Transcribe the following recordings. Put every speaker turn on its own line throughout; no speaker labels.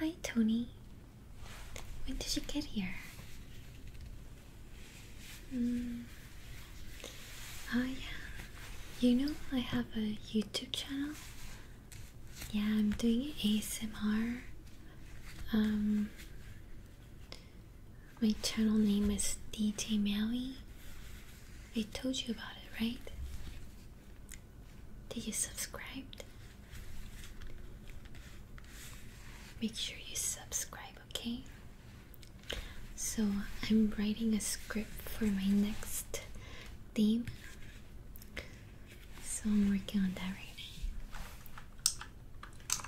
Hi, Tony. When did you get here? Hmm. Oh, yeah. You know, I have a YouTube channel. Yeah, I'm doing ASMR. Um, my channel name is DJ Maui. I told you about it, right? Did you subscribe? Make sure you subscribe, okay? So, I'm writing a script for my next theme. So, I'm working on that right now.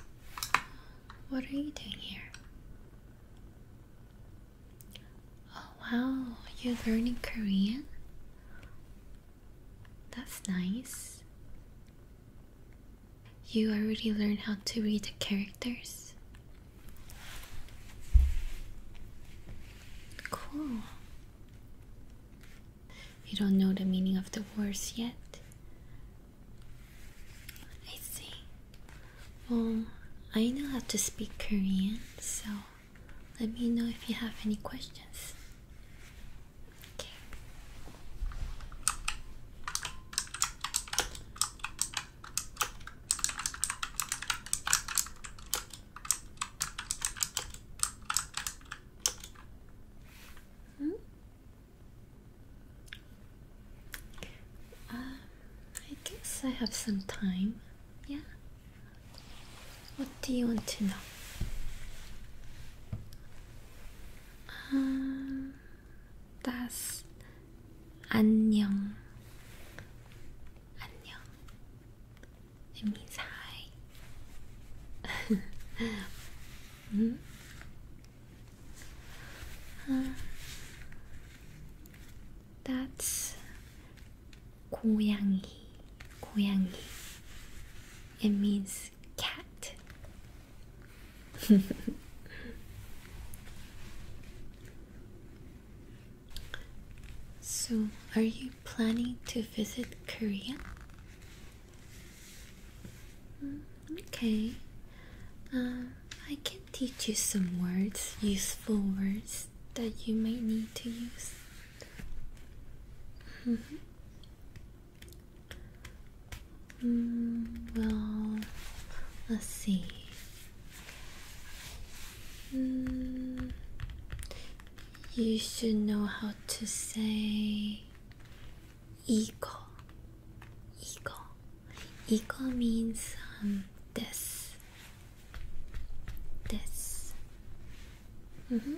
What are you doing here? Oh, wow, you're learning Korean? That's nice. You already learned how to read the characters. Cool. You don't know the meaning of the words yet? I see. Well, I know how to speak Korean, so let me know if you have any questions. Hmm? Uh, I guess I have some time. Yeah? What do you want to know? 아, 다스 안녕 안녕 미사이 음? 아, 다스 고양이 고양이 It means cat so, are you planning to visit Korea? Hmm, okay, um, I can teach you some words, useful words that you might need to use. Mm-hmm. Mm, well, let's see. Mm, you should know how to say eagle. Eagle. Eagle means um, this. This. Mm -hmm.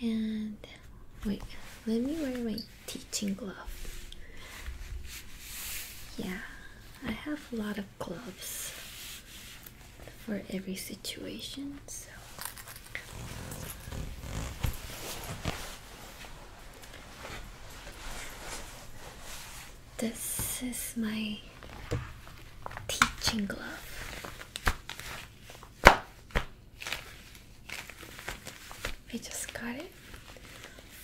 And wait, let me wear my teaching glove. Yeah, I have a lot of gloves for every situation, so this is my teaching glove. I just got it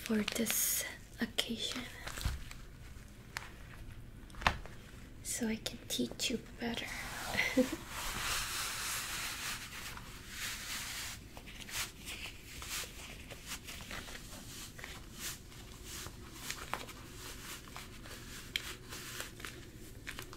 for this occasion so I can teach you better.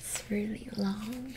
It's really long.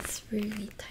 it's really tight.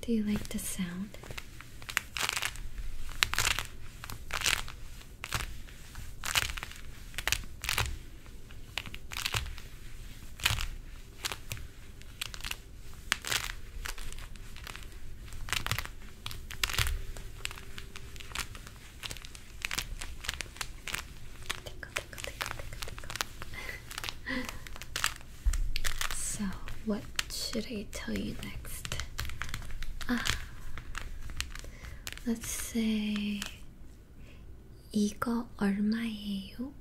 Do you like the sound? so, what should I tell you next? Ah, let's say. 이거 얼마예요?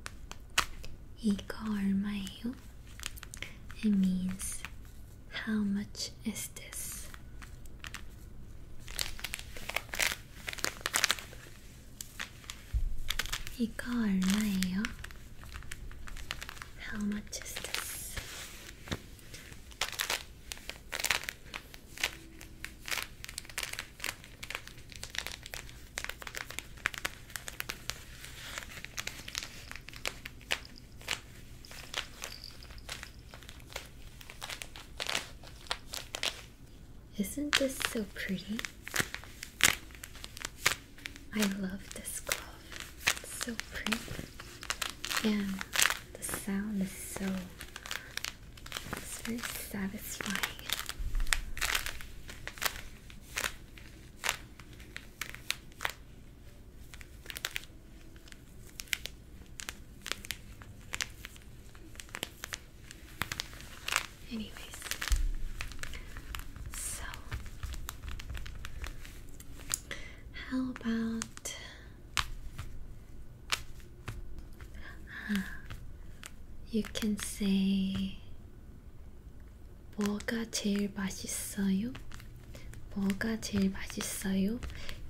이거 얼마예요? It means how much is this? 이거 얼마예요? How much is this? Isn't this so pretty? I love this cloth. It's so pretty. And the sound is so it's very satisfying. Anyways, so how about uh, you can say 뭐가 제일 맛있어요? 뭐가 제일 맛있어요?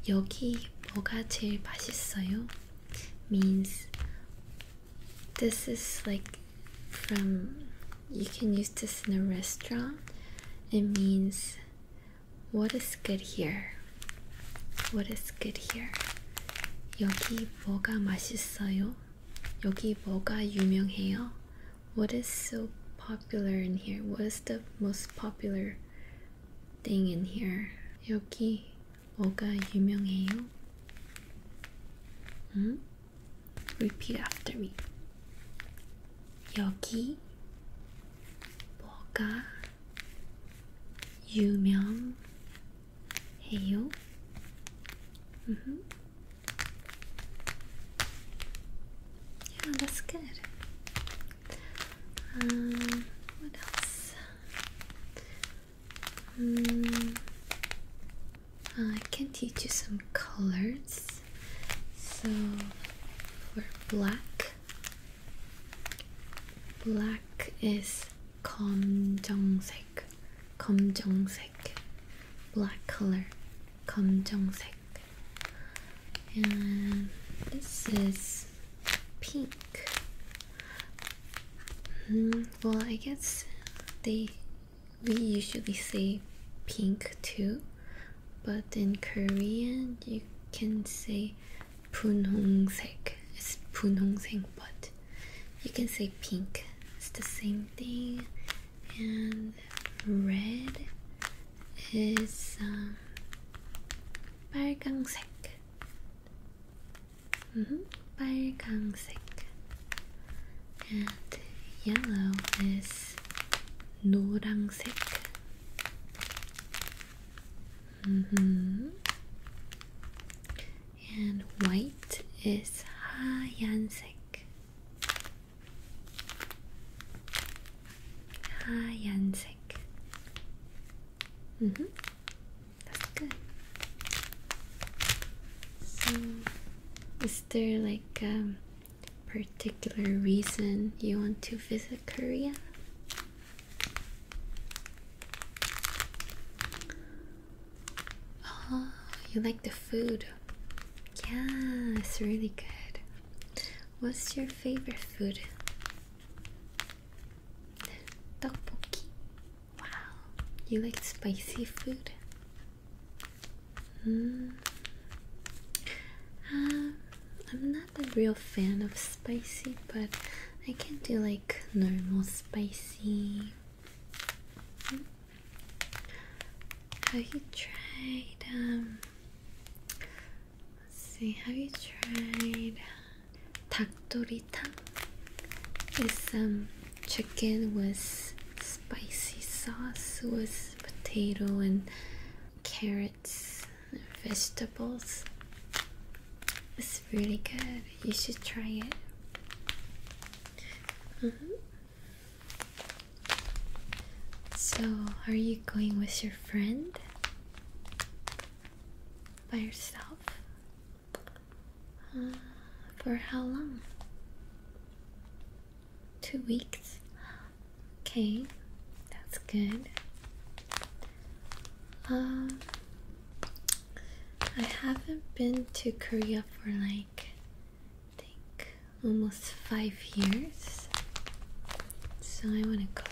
여기 뭐가 제일 맛있어요? means this is like from you can use this in a restaurant. It means what is good here? What is good here? 여기 뭐가 맛있어요? 여기 뭐가 유명해요? What is so popular in here? What is the most popular thing in here? 여기 뭐가 유명해요? 응? Repeat after me. 여기 뭐가 유명해요? Hey yo. Mhm. yeah, that's good. Um, what else? Mm, uh, I can teach you some colors. So for black, black is 검정색 검정색, 검정색, black color, 검정색. And this is pink. Hmm. well, I guess they we usually say pink too, but in Korean you can say 분홍색. It's 분홍색, but you can say pink. It's the same and red is um, 빨강색 mm -hmm. 빨강색 and yellow is 노랑색 mm -hmm and white is hayansek. Hayansek. Mhm. Mm That's good. So, is there like a particular reason you want to visit Korea? Oh, you like the food? Yeah, it's really good. What's your favorite food? Tteokbokki. Wow, you like spicy food? Mm. Um, I'm not a real fan of spicy, but I can do like normal spicy. Hmm. Have you tried, um, let's see, have you tried tang? It's some um, chicken with spicy sauce with potato and carrots vegetables. It's really good. You should try it. Mm-hmm. So, are you going with your friend? By yourself? Uh, for how long? Two weeks? Okay, that's good. Um, I haven't been to Korea for like I think almost five years. So I want to go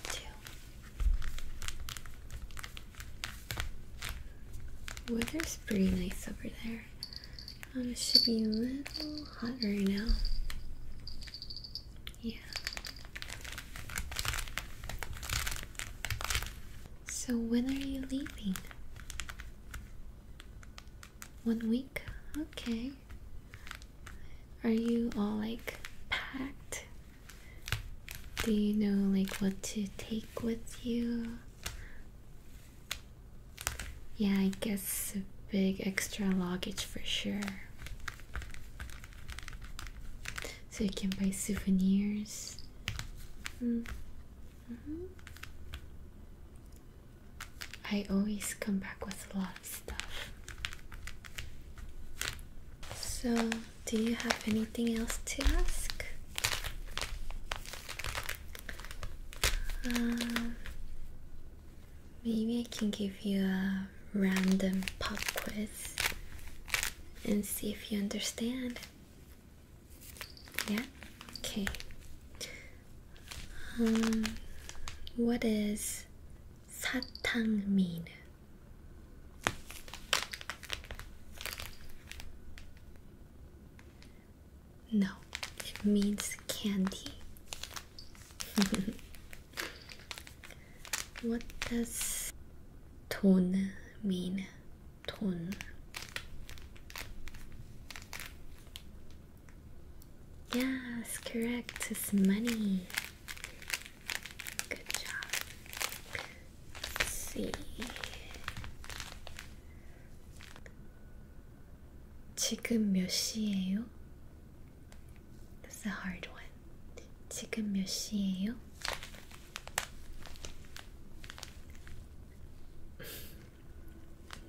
to. Weather's pretty nice over there. Um, it should be a little hot right now. Yeah. So when are you leaving? One week? Okay. Are you all like packed? Do you know like what to take with you? Yeah, I guess a big extra luggage for sure. So you can buy souvenirs. Hmm. Mm-hmm. I always come back with a lot of stuff. So, do you have anything else to ask? Um, maybe I can give you a random pop quiz and see if you understand. Yeah? Okay. Um, what does satang mean? No, it means candy. what does tuna mean? ton. Yes, correct. It's money. Good job. Let's see. 지금 몇 시예요? That's a hard one. 지금 몇 시예요?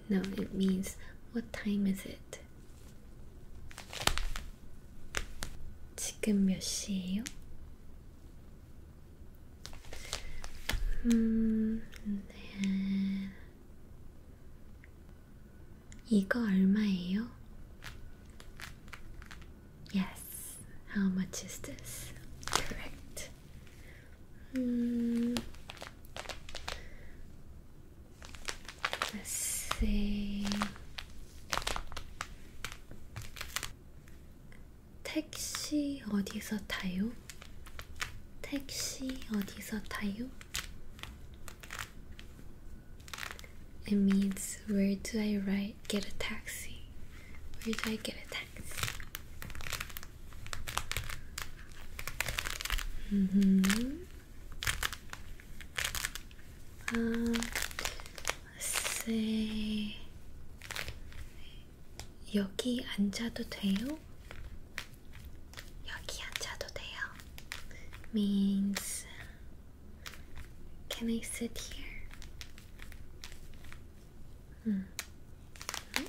No, it means what time is it? 지금 몇 시예요? 음, 네. 이거 얼마예요? Yes. How much is this? Correct. Hmm. Let's see. 택시 어디서 타요? 택시 어디서 타요? It means where do I ride, get a taxi? Where do I get a taxi? 음. 아, 쎄. 여기 앉아도 돼요? 여기 앉아도 돼요? means can I sit here? 음. 음?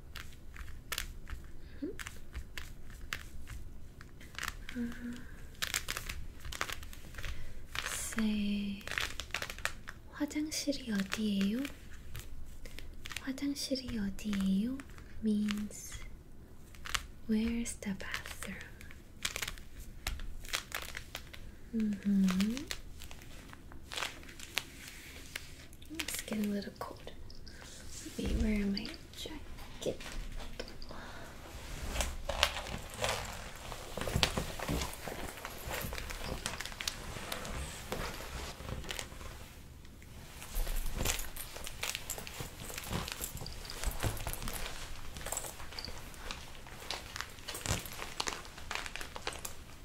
Mm -hmm. say 화장실이 어디예요? 화장실이 어디예요? means where's the bathroom? Mm -hmm. It's getting a little cold. Let me wear my jacket.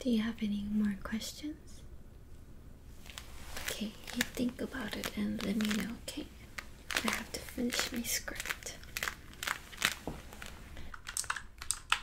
Do you have any more questions? Okay, you think about it and let me know, okay? I have to finish my script.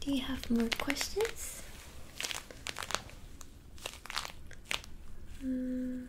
Do you have more questions? Mm.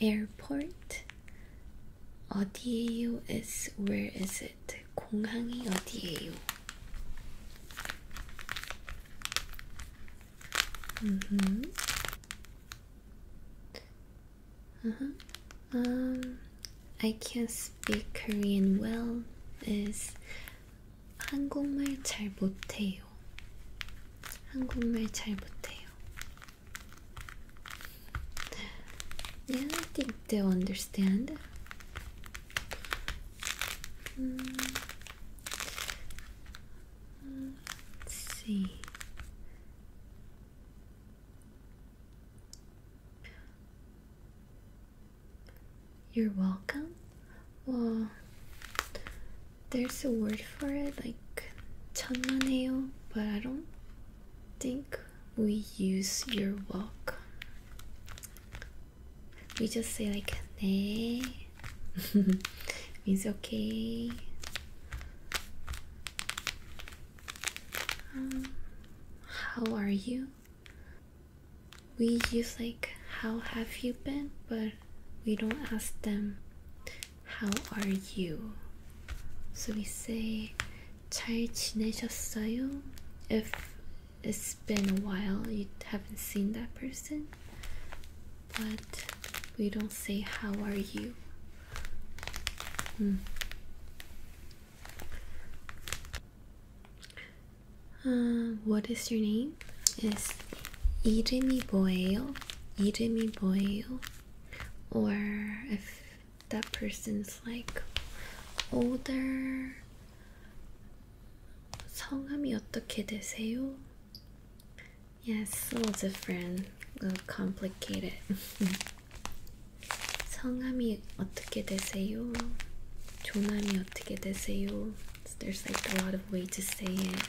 airport 어디에요 is where is it 공항이 어디에요 mm-hmm uh-huh um I can't speak Korean well is 한국말 잘 못해요 한국말 잘 못해요 yeah, I think they'll understand. Hmm. Let's see. You're welcome. Well, there's a word for it like 천만해요, but I don't think we use your walk. We just say like 네 means okay. Um, how are you? We use like how have you been, but we don't ask them how are you? So we say 잘 지내셨어요? If it's been a while, you haven't seen that person, but we don't say how are you. Hmm. Uh, what is your name? Is 이름이 뭐예요? 이름이 뭐예요? or if that person's like older 성함이 어떻게 되세요? Yes, a little different, a little complicated. 성함이 어떻게 되세요? 존함이 어떻게 되세요? So there's like a lot of ways to say it.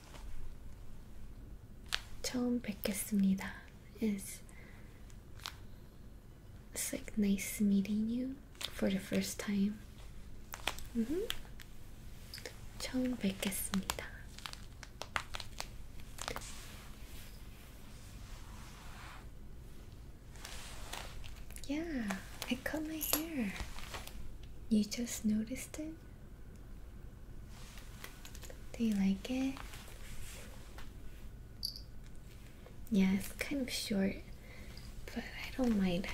처음 뵙겠습니다 is it's like nice meeting you for the first time. Mm -hmm. 처음 뵙겠습니다. Yeah, I cut my hair. You just noticed it? Do you like it? Yeah, it's kind of short, but I don't mind.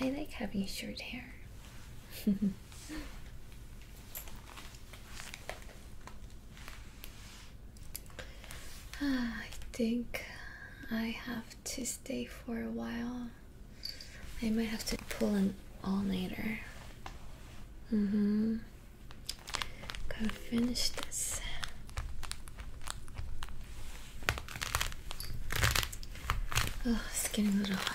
I, like having short hair. Ah, I think I have to stay for a while. I might have to pull an all-nighter. Mm-hmm. Gotta finish this. Oh, it's getting a little hot.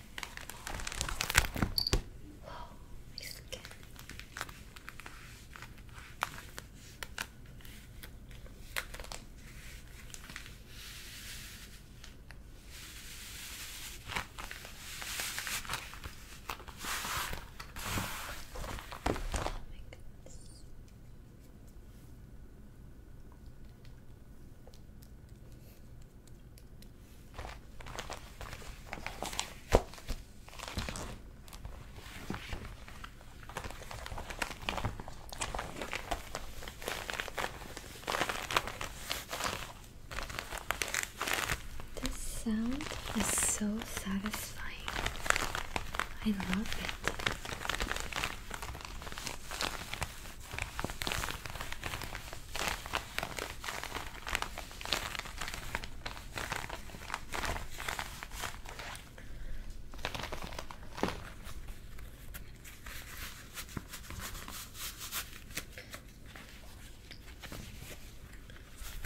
Whoa, my Oh my goodness. This sound is so satisfying. I love it.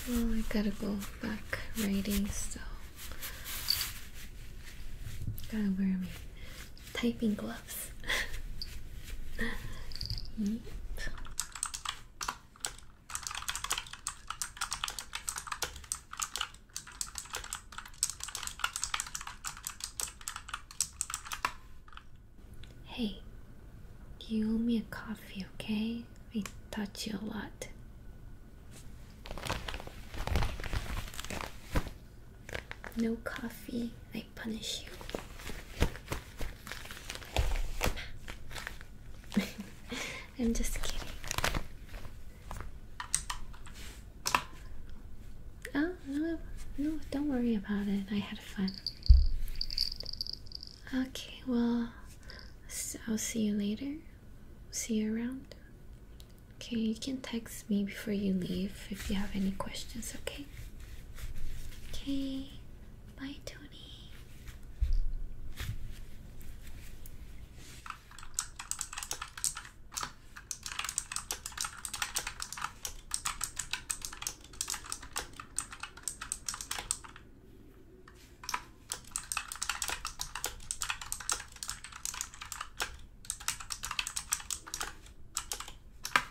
Well, I gotta go back writing, so gotta wear my typing gloves. Hey, you owe me a coffee, okay? I taught you a lot. No coffee, I punish you. I'm just kidding. Oh, no, no, don't worry about it. I had fun. Okay, well, I'll see you later. See you around. Okay, you can text me before you leave if you have any questions, okay? Okay, Bye, Tony.